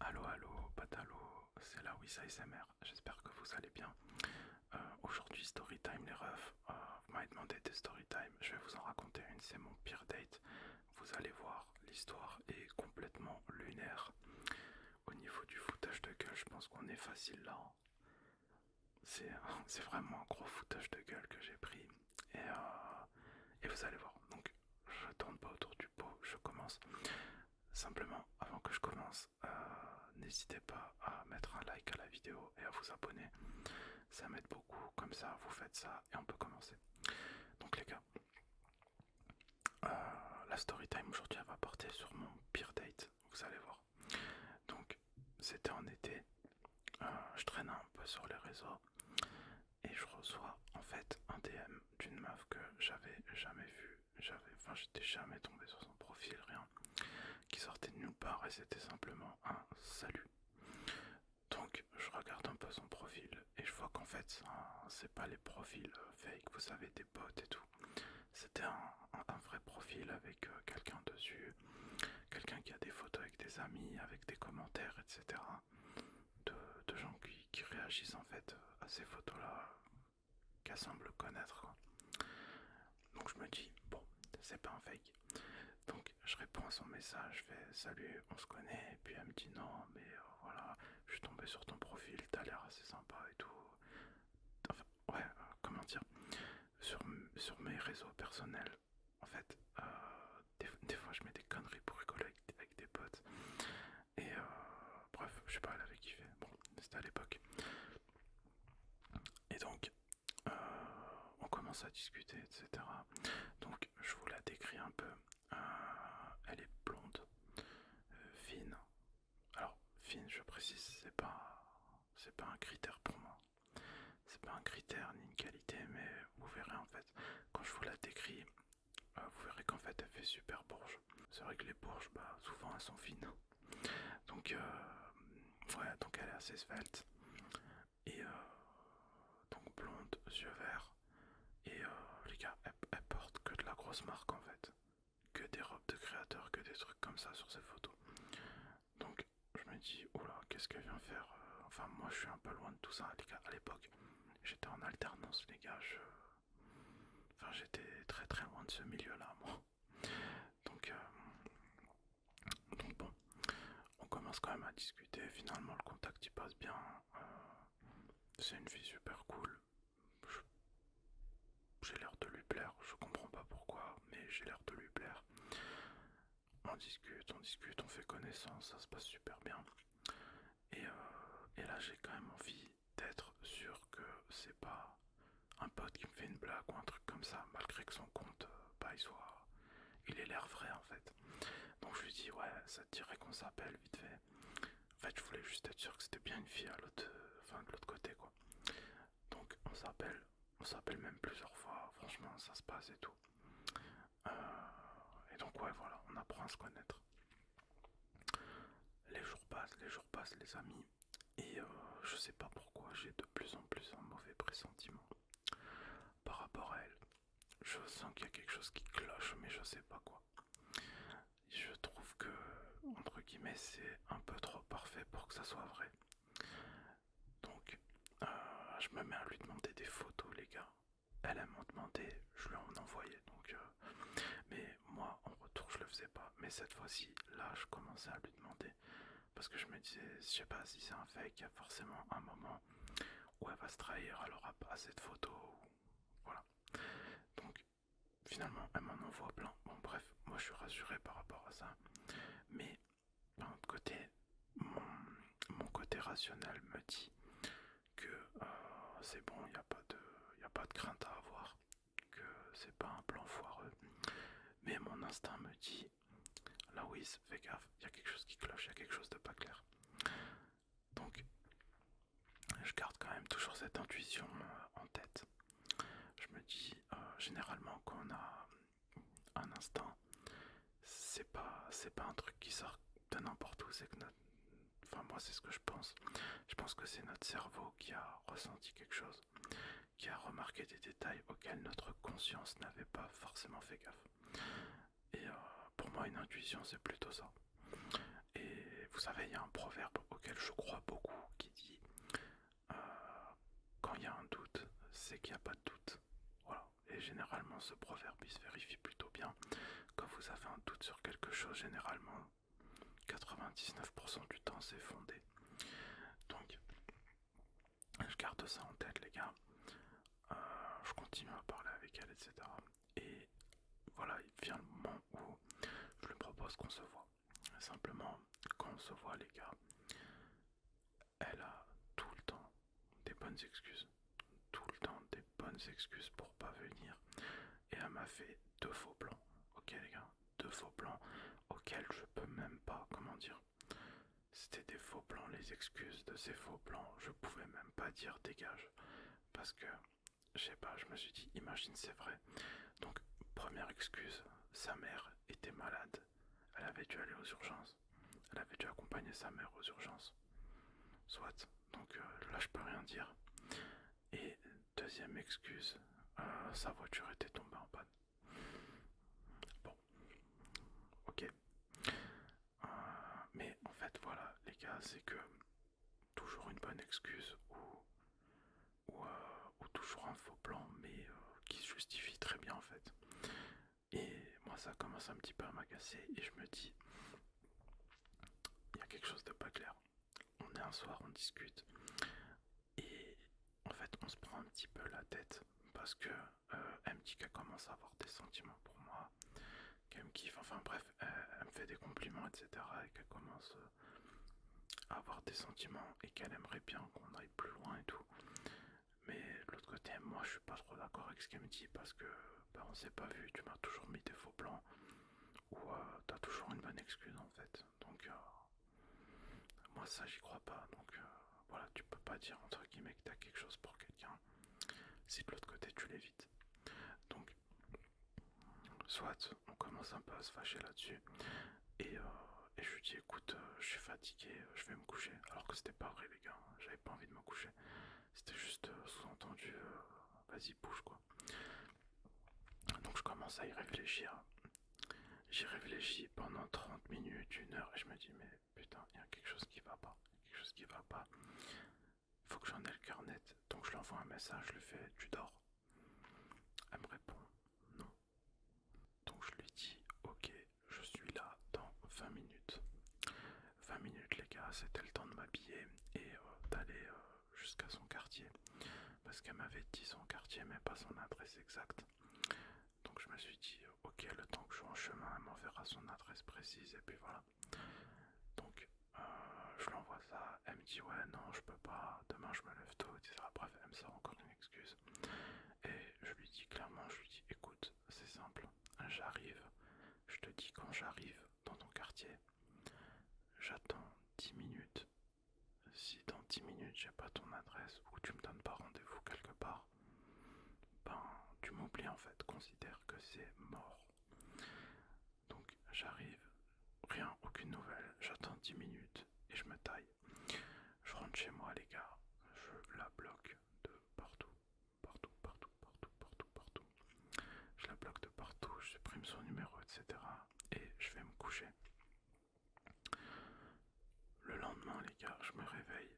Allo allo, patalo, c'est la Wissa j'espère que vous allez bien. Euh, aujourd'hui, Aujourd'hui time les refs, euh, vous m'avez demandé des story time, je vais vous en raconter une, c'est mon pire date. Vous allez voir, l'histoire est complètement lunaire. Au niveau du foutage de gueule, je pense qu'on est facile là. Hein. C'est vraiment un gros foutage de gueule que j'ai pris. Et, euh, et vous allez voir. Donc je tourne pas autour du pot, je commence. Simplement, avant que je commence, euh, n'hésitez pas à mettre un like à la vidéo et à vous abonner. Ça m'aide beaucoup, comme ça vous faites ça et on peut commencer. Donc les gars, euh, la story time aujourd'hui va porter sur mon pire date, vous allez voir. Donc c'était en été, euh, je traînais un peu sur les réseaux et je reçois en fait un DM d'une meuf que j'avais jamais vu j'avais, enfin j'étais jamais tombé sur son profil, rien, qui sortait de nulle part et c'était simplement un salut. Donc je regarde un peu son profil et je vois qu'en fait c'est pas les profils euh, fake, vous savez, des bots et tout. C'était un, vrai profil avec euh, quelqu'un dessus, quelqu'un qui a des photos avec des amis, avec des commentaires, etc de, gens qui, réagissent en fait à ces photos-là qu'elle semble connaître. Donc je me dis, bon, c'est pas un fake. Donc je réponds à son message, je fais salut, on se connaît, et puis elle me dit non, mais euh, voilà, je suis tombé sur ton profil, t'as l'air assez sympa et tout. Enfin, ouais, euh, comment dire, sur mes réseaux personnels, en fait, euh, des, fois je mets des conneries pour rigoler avec, des potes. Et euh, bref, je sais pas, elle avait kiffé. Bon, c'était à l'époque. Et donc, euh, on commence à discuter, etc. Donc, je vous la décris un peu. elle est blonde, fine. Alors, fine, je précise, c'est pas, c'est pas un critère pour moi c'est pas un critère ni une qualité, mais vous verrez en fait, quand je vous la décris, euh, vous verrez qu'en fait elle fait super bourge. C'est vrai que les bourges, bah, souvent elles sont fines. Donc, voilà, euh, ouais, donc elle est assez svelte. Et euh, donc blonde, yeux verts. Et les gars, elle, elle porte que de la grosse marque en fait. Que des robes de créateurs, que des trucs comme ça sur ses photos. Donc je me dis, oula, qu'est-ce qu'elle vient faire euh, Enfin, moi, je suis un peu loin de tout ça, les gars. À l'époque, j'étais en alternance, les gars. Je... Enfin, j'étais très très loin de ce milieu-là, moi. Donc, euh, Donc, bon, on commence quand même à discuter. Finalement, le contact il passe bien. Euh, c'est une fille super cool. J'ai l'air de lui plaire. Je comprends pas pourquoi, mais j'ai l'air de lui plaire on discute, on discute, on fait connaissance, ça se passe super bien. Euh, et, là, j'ai quand même envie d'être sûr que c'est pas un pote qui me fait une blague ou un truc comme ça, malgré que son compte, euh, bah, il Il ait l'air vrai en fait. Donc je lui dis, ouais, ça te dirait qu'on s'appelle vite fait. En fait, je voulais juste être sûr que c'était bien une fille à l'autre, euh, enfin, de l'autre côté quoi. Donc on s'appelle, on s'appelle même plusieurs fois, franchement ça se passe et tout. Euh, et donc ouais voilà, on apprend à se connaître. Les jours passent, les jours passent les amis, et euh, je sais pas pourquoi j'ai de plus en plus un mauvais pressentiment par rapport à elle. Je sens qu'il y a quelque chose qui cloche, mais je sais pas quoi. Je trouve que, entre guillemets, c'est un peu trop parfait pour que ça soit vrai. Donc, euh, je me mets à lui demander des photos, les gars. Elle, m'en demandait, je lui en envoyais. Donc, euh, mais moi, en retour, je le faisais pas. Mais cette fois-ci, là, je commençais à lui demander. Parce que je me disais, je sais pas si c'est un fake, il y a forcément un moment où elle va se trahir, elle aura pas assez de Voilà. Donc, finalement, elle m'en envoie plein. Bon, bref, moi, je suis rassuré par rapport à ça. Mais d'un côté, mon, côté rationnel me dit que euh, c'est bon, il n'y a, pas de crainte à avoir, que c'est pas un plan foireux. Mais mon instinct me dit, là oui, fais gaffe, il y a quelque chose qui cloche, il y a quelque chose de pas clair. Donc, je garde quand même toujours cette intuition euh, en tête. Je me dis, euh, généralement, qu'on a un instant, c'est pas, c'est pas un truc qui sort de n'importe où, c'est que enfin moi c'est ce que je pense. Je pense que c'est notre cerveau qui a ressenti quelque chose, qui a remarqué des détails auxquels notre conscience n'avait pas forcément fait gaffe. Et euh, pour moi, une intuition, c'est plutôt ça. Et vous savez, il y a un proverbe auquel je crois beaucoup qui dit euh, quand il y a un doute, c'est qu'il n'y a pas de doute. Voilà. Et généralement, ce proverbe il se vérifie plutôt bien. Quand vous avez un doute sur quelque chose, généralement, 99% du temps, c'est fondé. Donc, je garde ça en tête, les gars. Euh, je continue à parler avec elle, etc. Et voilà, il vient le moment où je lui propose qu'on se voit. Simplement, quand se voit, les gars, elle a tout le temps des bonnes excuses. Tout le temps des bonnes excuses pour pas venir. Et elle m'a fait deux faux plans. Ok, les gars, deux faux plans auxquels je peux même pas, comment dire. C'était des faux plans, les excuses de ces faux plans, je pouvais même pas dire dégage. Parce que, je sais pas, je me suis dit, imagine c'est vrai. Donc, première excuse, sa mère était malade elle avait dû aller aux urgences. Elle avait dû accompagner sa mère aux urgences. Soit. Donc euh, là, je peux rien dire. Et deuxième excuse, euh, sa voiture était tombée en panne. Bon. Ok. Euh, mais en fait, voilà, les gars, c'est que toujours une bonne excuse ou euh, ou, toujours un faux plan, mais euh, qui se justifie très bien en fait. Et moi, ça commence un petit peu à m'agacer et je me dis, il y a quelque chose de pas clair. On est un soir, on discute et en fait, on se prend un petit peu la tête parce que dit euh, qu'elle commence à avoir des sentiments pour moi, qu'elle me kiffe, enfin bref, elle me fait des compliments, etc. et qu'elle commence euh, avoir des sentiments et qu'elle aimerait bien qu'on aille plus loin et tout. Mais de l'autre côté, moi je suis pas trop d'accord avec ce qu'elle me dit parce que bah, on s'est pas vu, tu m'as toujours mis des faux plans ou euh, t'as toujours une bonne excuse en fait. Donc euh, moi ça j'y crois pas. Donc voilà, tu peux pas dire entre guillemets que t'as quelque chose pour quelqu'un si de l'autre côté tu l'évites. Donc soit on commence un peu à se fâcher là-dessus, euh, et, je lui dis écoute, euh, je suis fatigué, euh, je vais me coucher. Alors que c'était pas vrai, les gars, hein. j'avais pas envie de me coucher. C'était juste sous-entendu, vas-y, bouge quoi. Donc je commence à y réfléchir. J'y réfléchis pendant 30 minutes, une heure, et je me dis mais putain, il y a quelque chose qui va pas, quelque chose qui va pas. Faut que j'en ai le cœur net. Donc je lui envoie un message, je lui fais tu dors. Elle me répond non. Donc je lui dis ok, je suis là dans 20 minutes. 20 minutes les gars, c'était le temps de m'habiller et euh, d'aller euh, jusqu'à son quartier. Parce qu'elle m'avait dit son quartier mais pas son adresse exacte. Donc je me suis dit ok, le temps que je sois en chemin, elle m'enverra son adresse précise et puis voilà. Donc euh, je l'envoie ça elle me dit ouais non je peux pas, demain je me lève tôt, etc. Bref, elle me sort encore une excuse. Et je lui dis clairement, je lui dis écoute, c'est simple, j'arrive, je te dis quand j'arrive dans ton quartier, j'attends 10 minutes. Si dans 10 minutes j'ai pas ton adresse ou tu me donnes pas rendez-vous quelque part, ben tu m'oublies en fait, considère que c'est mort. Donc j'arrive, rien, aucune nouvelle, j'attends 10 minutes et je me taille. Je rentre chez moi les gars, je la bloque de partout, partout, partout, partout, partout, partout. Je la bloque de partout, je supprime son numéro, etc. Et je vais me coucher. Le lendemain les gars, je me réveille.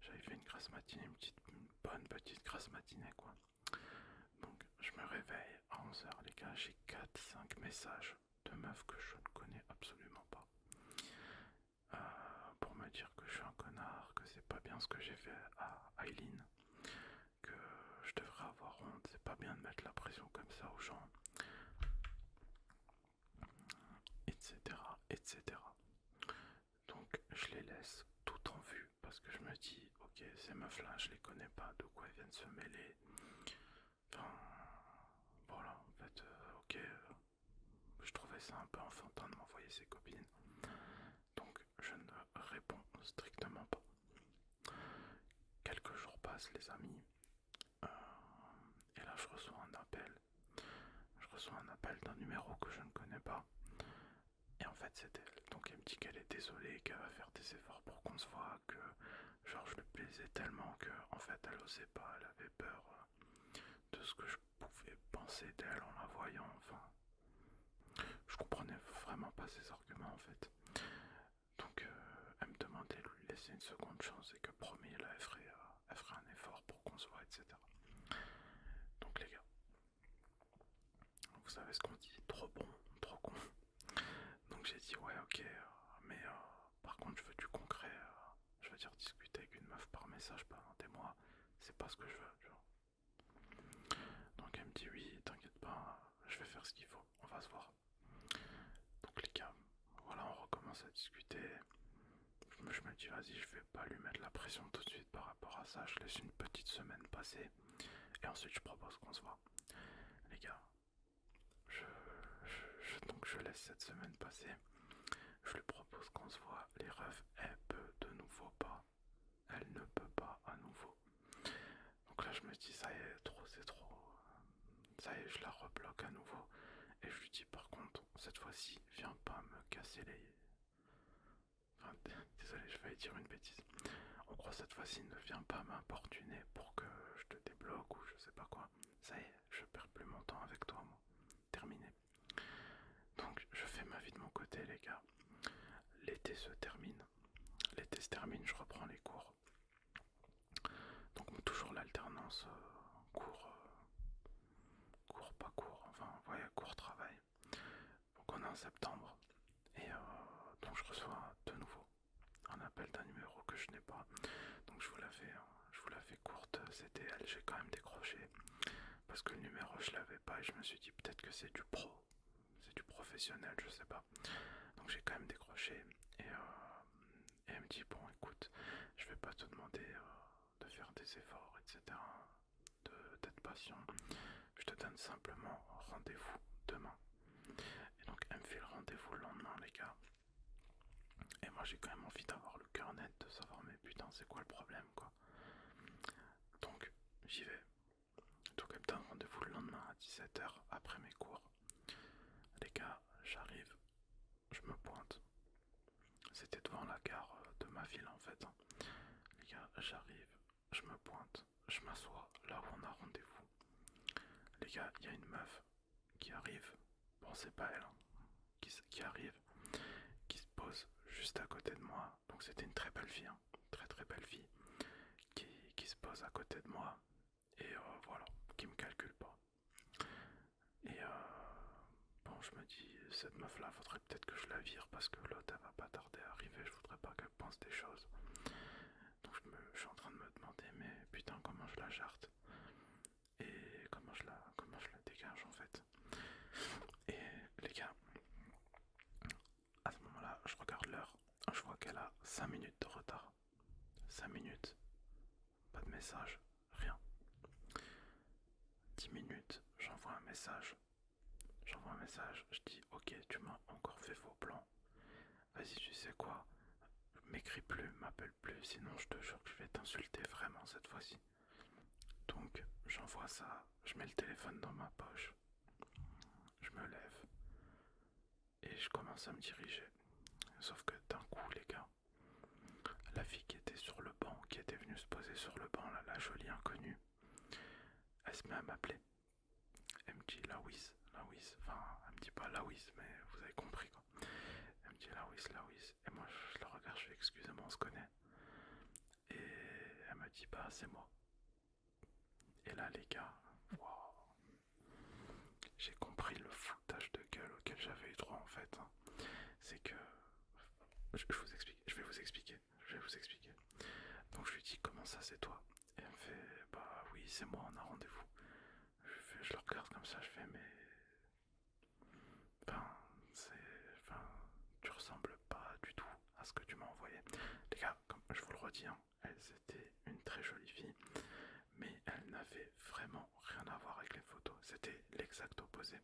J'avais fait une grasse matinée, une, bonne petite grasse matinée quoi. Donc je me réveille à 11h les gars, j'ai 4-5 messages de meufs que je ne connais absolument pas. Euh, pour me dire que je suis un connard, que c'est pas bien ce que j'ai fait à Eileen, que je devrais avoir honte, c'est pas bien de mettre la pression comme ça aux gens, etc. etc. Donc je les laisse tout en vue parce que je me dis ok ces meufs là je les connais pas de quoi elles viennent se mêler enfin voilà en fait euh, ok euh, je trouvais ça un peu enfantin de m'envoyer ses copines donc je ne réponds strictement pas quelques jours passent les amis euh, et là je reçois un appel je reçois un appel d'un numéro que je ne connais pas et en fait, c'est elle. Donc elle me dit qu'elle est désolée, qu'elle va faire des efforts pour qu'on se voit, que genre je lui plaisais tellement que fait elle osait pas, elle avait peur euh, de ce que je pouvais penser d'elle en la voyant. Enfin, je comprenais vraiment pas ses arguments en fait. Donc euh, elle me demandait de lui laisser une seconde chance et que promis elle ferait, euh, elle un effort pour qu'on se voit, etc. Donc les gars, vous savez ce qu'on dit, trop bon, trop con. Donc j'ai dit ouais ok, euh, mais euh, par contre je veux du concret, euh, je veux dire discuter avec une meuf par message pendant des mois, c'est pas ce que je veux. Donc elle me dit oui, t'inquiète pas, je vais faire ce qu'il faut, on va se voir. Donc les gars, voilà on recommence à discuter. je me dis vas-y, je vais pas lui mettre la pression tout de suite par rapport à ça, je laisse une petite semaine passer. Et ensuite, je propose qu'on se voit. Les gars, donc je laisse cette semaine passer. Je lui propose qu'on se voit. Les refs, elle peut de nouveau pas. Elle ne peut pas à nouveau. Donc là, je me dis, ça y est, trop, c'est trop. Ça y est, je la rebloque à nouveau. Et je lui dis, par contre, cette fois-ci, viens pas me casser les. Ah, désolé, je vais dire une bêtise. on croit cette fois-ci, ne viens pas m'importuner pour que je te débloque ou je sais pas quoi. Ça y est, je perds plus mon temps avec toi, moi. Terminé. Donc, je fais ma vie de mon côté, les gars. L'été se termine. L'été se termine, je reprends les cours. Donc, toujours l'alternance euh, cours, euh, cours, pas cours, enfin, ouais, cours-travail. Donc on est en septembre et euh, donc je reçois de nouveau un appel d'un numéro que je n'ai pas. Donc je vous la fais, hein, je courte, c'était elle, j'ai quand même décroché parce que le numéro je l'avais pas et je me suis dit peut-être que c'est du pro, c'est du professionnel, je sais pas. Donc j'ai quand même décroché et, euh, elle me dit bon écoute, je vais pas te demander euh, de faire des efforts, etc de d'être patient. Je te donne simplement rendez-vous demain. Et donc elle me fait le rendez-vous le lendemain les gars. Et moi j'ai quand même envie d'avoir le cœur net, de savoir mais putain c'est quoi le problème quoi. Donc j'y vais. Donc elle me rendez-vous le lendemain à 17h après mes cours. Les gars, j'arrive, je me pointe. C'était devant la gare de ma ville en fait. Hein. Les gars, j'arrive, je me pointe, je m'assois là où on a rendez-vous. Les gars, il y a une meuf qui arrive, bon c'est pas elle, hein, qui, arrive, qui se pose juste à côté de moi. Donc c'était une très belle fille, hein, très très belle fille, qui, se pose à côté de moi et euh, voilà, qui me calcule pas. Et euh, Bon, je me dis, cette meuf-là, faudrait peut-être que je la vire parce que l'autre, elle va pas tarder à arriver. Je voudrais pas qu'elle pense des choses. Donc, je, suis en train de me demander, mais putain, comment je la jarte et comment je la, comment je la dégage en fait. Et les gars, à ce moment-là, je regarde l'heure. Je vois qu'elle a 5 minutes de retard. 5 minutes. Pas de message. Rien. 10 minutes, j'envoie un message. J'envoie un message, je dis ok tu m'as encore fait faux plan. Vas-y tu sais quoi, m'écris plus, m'appelle plus, sinon je te jure que je vais t'insulter vraiment cette fois-ci. Donc j'envoie ça, je mets le téléphone dans ma poche, je me lève et je commence à me diriger. Sauf que d'un coup les gars, la fille qui était sur le banc, qui était venue se poser sur le banc, la jolie inconnue, elle se met à m'appeler. Elle me dit Laouis, enfin, elle me dit pas Laouis, mais vous avez compris quoi. Elle me dit Laouis, Laouis, et moi je la regarde, je fais excusez-moi, on se connaît. Et elle me dit Bah, c'est moi. Et là, les gars, j'ai compris le foutage de gueule auquel j'avais eu droit en fait. Hein. C'est que je vous explique. Je vais vous expliquer. Je vais vous expliquer. Donc je lui dis comment ça c'est toi Et elle me fait bah oui c'est moi on a rendez-vous. Je, leur le regarde comme ça, je fais mais enfin c'est tu ressembles pas du tout à ce que tu m'as envoyé. Les gars, comme je vous le redis, hein, elle c'était une très jolie fille, mais elle n'avait vraiment rien à voir avec les photos. C'était l'exact opposé.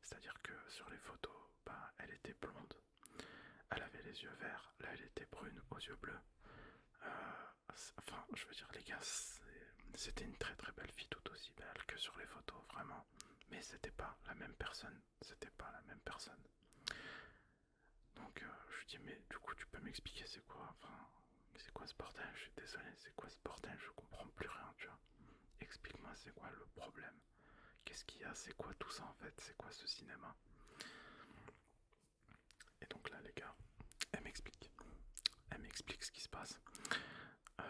C'est-à-dire que sur les photos, ben, elle était blonde, elle avait les yeux verts, là elle était brune aux yeux bleus. Euh, enfin, je veux dire, les gars, c'était une très très belle fille, tout aussi belle que sur les photos, vraiment. Mais c'était pas la même personne, c'était pas la même personne. Donc euh, je lui dis, mais du coup, tu peux m'expliquer c'est quoi Enfin, c'est quoi ce bordel Je suis désolé, c'est quoi ce bordel Je comprends plus rien, tu vois. Explique-moi, c'est quoi le problème Qu'est-ce qu'il y a C'est quoi tout ça en fait C'est quoi ce cinéma Et donc là, les gars, elle m'explique. Elle m'explique ce qui se passe. Euh,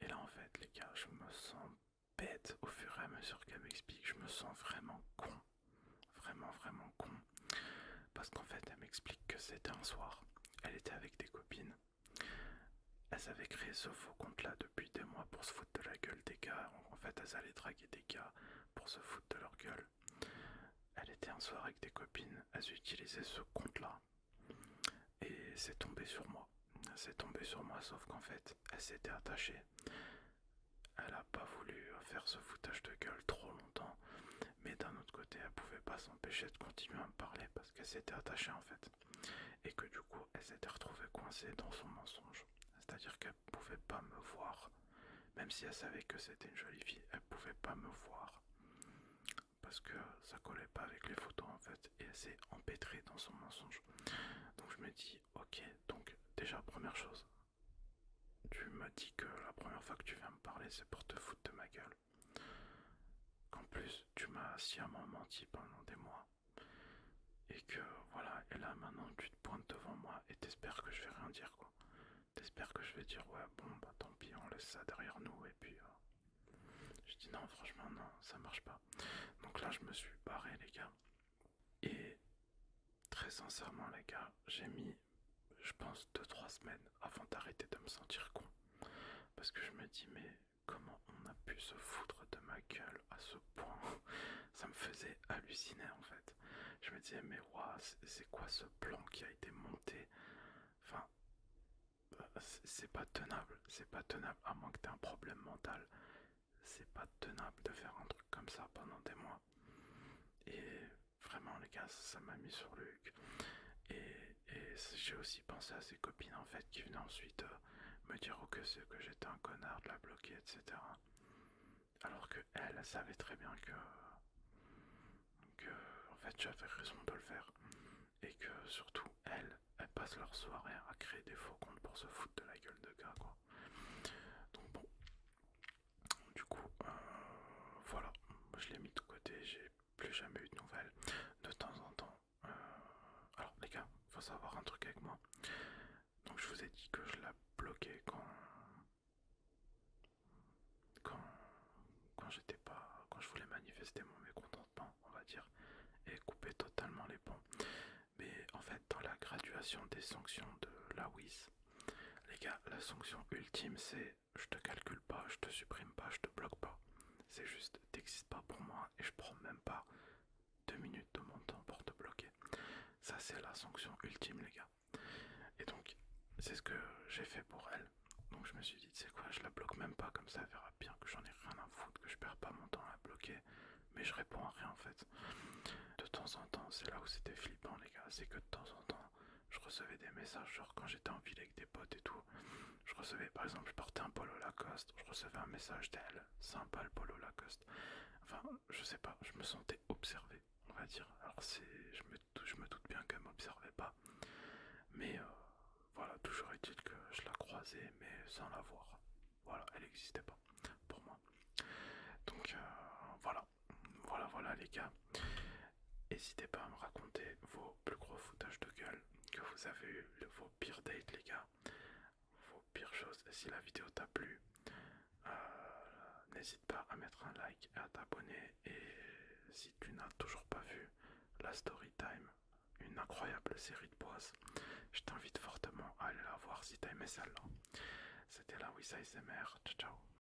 et là, en fait, les gars, je me sens bête au fur et à mesure qu'elle m'explique. Je me sens vraiment con. Vraiment, vraiment con. Parce qu'en fait, elle m'explique que c'était un soir. Elle était avec des copines. Elles avaient créé ce faux compte-là depuis des mois pour se foutre de la gueule des gars. En fait, elles allaient draguer des gars pour se foutre de leur gueule. Elle était un soir avec des copines, elles utilisaient ce compte-là. Et c'est tombé sur moi. C'est tombé sur moi, sauf qu'en fait, elle s'était attachée. Elle n'a pas voulu faire ce foutage de gueule trop longtemps. Mais d'un autre côté, elle pouvait pas s'empêcher de continuer à me parler parce qu'elle s'était attachée en fait. Et que du coup, elle s'était retrouvée coincée dans son mensonge. C'est-à-dire qu'elle ne pouvait pas me voir. Même si elle savait que c'était une jolie fille, elle pouvait pas me voir. Parce que ça collait pas avec les photos en fait. Et elle s'est empêtrée dans son mensonge. Donc je me dis, ok, donc déjà première chose. Tu m'as dit que la première fois que tu viens me parler, c'est pour te foutre de ma gueule. Qu'en plus, tu m'as sciemment menti pendant des mois. Et que voilà, et là maintenant tu te pointes devant moi et t'espères que je vais rien dire quoi. T'espères que je vais dire ouais, bon bah tant pis, on laisse ça derrière nous et puis. Euh, je dis non, franchement, non, ça marche pas. Donc là, je me suis barré, les gars. Et très sincèrement, les gars, j'ai mis, je pense, 2-3 semaines avant d'arrêter de me sentir con. Parce que je me dis, mais comment on a pu se foutre de ma gueule à ce point Ça me faisait halluciner en fait. Je me disais, mais waouh, c'est quoi ce plan qui a été monté Enfin, euh, c'est pas tenable, c'est pas tenable, à moins que t'aies un problème mental. C'est pas tenable de faire un truc comme ça pendant des mois. Et Vraiment, les gars, ça m'a mis sur Luc. Et, j'ai aussi pensé à ses copines en fait qui venaient ensuite euh, me dire oh, que c'est que j'étais un connard de la bloquer, etc. Alors que elle, savait très bien que, en fait j'avais raison de le faire. Et que surtout, elles, elle passent leur soirée à créer des faux comptes pour se foutre de la gueule de gars, quoi. Donc bon, du coup, euh, voilà, je l'ai mis de côté, j'ai plus jamais eu de nouvelles. De temps en temps, euh, alors les gars, il faut savoir un truc avec moi. Donc je vous ai dit que je la bloquais quand quand quand j'étais pas, quand je voulais manifester mon mécontentement, on va dire, et couper totalement les ponts. Mais en fait, dans la graduation des sanctions de la WIS, les gars, la sanction ultime, c'est je te calcule pas, je te supprime pas, je te bloque pas. C'est juste, t'existes pas pour moi et je prends même pas deux minutes de mon temps pour te bloquer. Ça, c'est la sanction ultime, les gars. Et donc, c'est ce que j'ai fait pour elle. Donc, je me suis dit, c'est quoi, je la bloque même pas, comme ça, verra bien que j'en ai rien à foutre, que je perds pas mon temps à la bloquer, mais je réponds à rien en fait. De temps en temps, c'est là où c'était flippant, les gars, c'est que de temps en temps, je recevais des messages, genre quand j'étais en ville avec des potes et tout. Je recevais, par exemple, je portais un polo Lacoste, je recevais un message d'elle, sympa le polo Lacoste. Enfin, je sais pas, je me sentais observé, on va dire. Alors, c'est, je me, me doute bien qu'elle m'observait pas. Mais euh, voilà, toujours est-il que je la croisais, mais sans la voir. Voilà, elle n'existait pas pour moi. Donc, euh, voilà, voilà, voilà les gars. N'hésitez pas à me raconter vos plus gros foutages de gueule que vous avez eu, vos pires dates les gars, vos pires choses. Si la vidéo t'a plu, euh, n'hésite pas à mettre un like et à t'abonner. Et si tu n'as toujours pas vu la story time, une incroyable série de pause je t'invite fortement à aller la voir si t'as aimé celle-là. C'était la Wissa ciao ciao